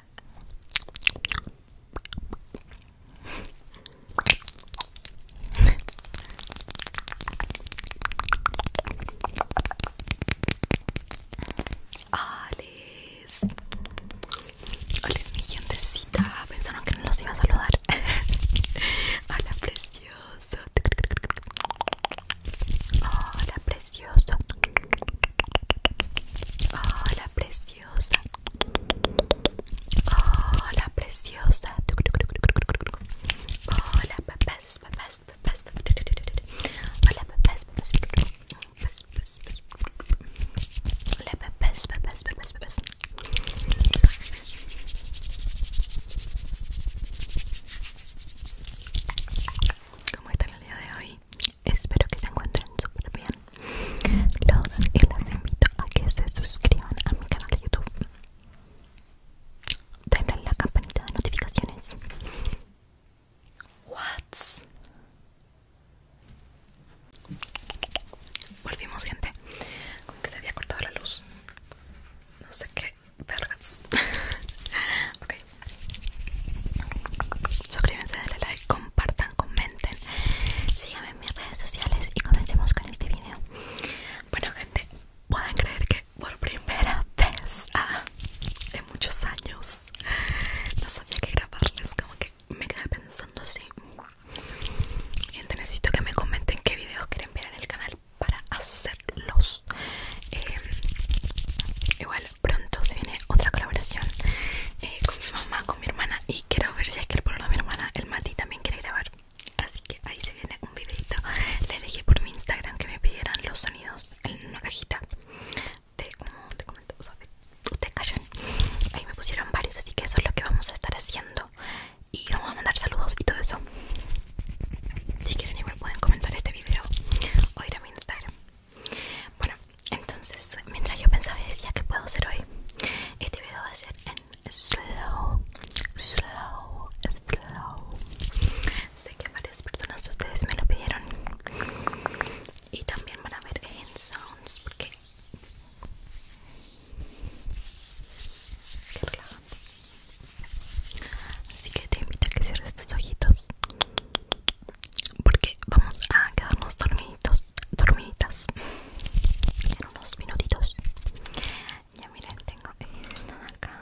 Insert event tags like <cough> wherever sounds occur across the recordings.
Alex, ah, Alex oh, mi gentecita, pensaron que no los iba a saludar. <laughs> Hola precioso. Hola precioso. Hola precioso preciosa. Hola, preciosa. Hola, Hola, ¿Cómo están el día de hoy? Espero que se encuentren súper bien. Los y las invito a que se suscriban a mi canal de YouTube. Denle la campanita de notificaciones. What's Volvimos, gente. Como que se había cortado la luz. No sé qué vergas. <laughs> ok. Suscríbanse, denle like, compartan, comenten Síganme en mis redes sociales y comencemos con este video Bueno gente, pueden creer que por primera vez ah, en muchos años No sabía qué grabarles, como que me quedé pensando así Gente, necesito que me comenten qué videos quieren ver en el canal para hacerlos eh, pronto se viene otra colaboración eh, con mi mamá, con mi hermana y quiero ver si es que el pueblo de mi hermana, el Mati, también quiere grabar. Así que ahí se viene un videito. Le dejé por mi Instagram que me pidieran los sonidos en una cajita de como te comento, Ahí me pusieron varios, así que eso es lo que vamos a estar haciendo. Y vamos a mandar saludos y todo eso. Si quieren igual pueden comentar este video o ir a mi Instagram. Bueno, entonces mientras yo pensaba decía que puedo hacer hoy, este video va a ser en slow, slow, slow. Sé que varias personas ustedes me lo pidieron y también van a ver en sounds porque relajante. Así que te invito a que cierres tus ojitos porque vamos a quedarnos dormiditos, dormiditas en unos minutitos. Ya miren, tengo esta acá.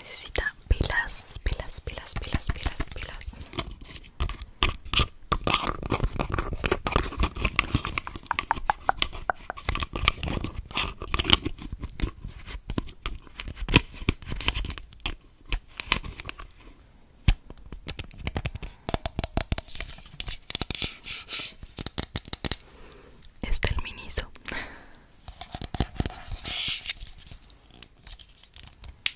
Necesita pilas, pilas, pilas, pilas, pilas, pilas. Este el miniso.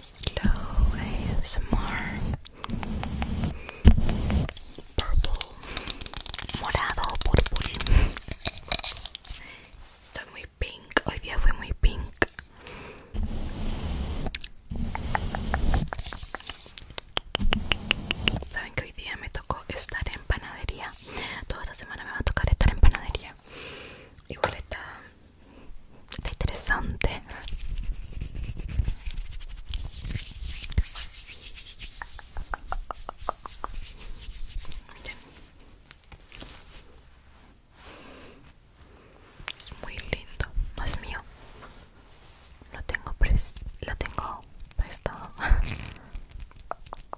Slow ASMR Purple Morado, purple Estoy muy pink, hoy día fue muy pink Saben que hoy día me tocó estar en panadería Toda esta semana me va a tocar estar en panadería igual está, interesante es muy lindo no es mío lo tengo lo tengo prestado <laughs>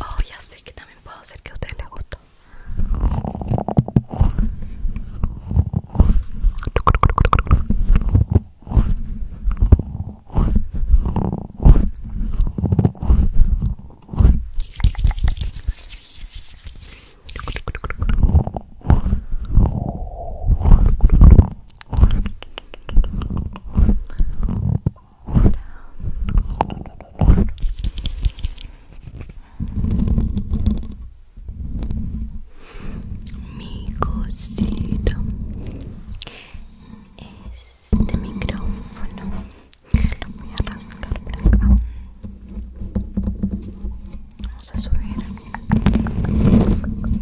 Oh, ya sé que también puedo hacer que a ustedes les guste. Mi cosita. Este micrófono lo voy a rascar por acá. Vamos a subir.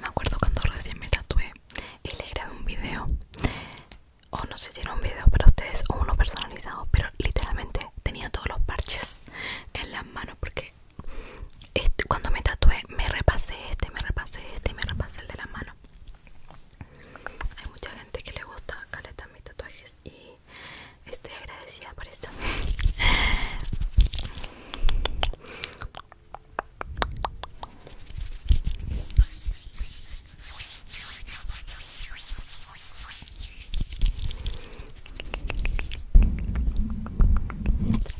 Me acuerdo cuando recién me tatué y le grabé un video. O no sé si era un video para ustedes o uno personalizado, pero literalmente tenía todos los parches en las manos porque cuando me tatué me repasé este, me repasé este y me repasé el de la mano. Hay mucha gente que le gusta caleta mis tatuajes y estoy agradecida por eso.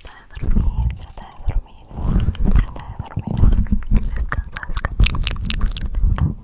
Trata de dormir, trata de dormir, trata de dormir, descansa, descansa,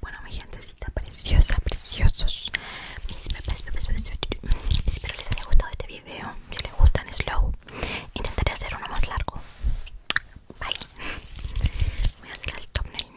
Bueno, mi gentecita preciosa, preciosos. Espero les haya gustado este video. Si les gustan slow, intentaré hacer uno más largo. Bye. Voy a hacer el thumbnail.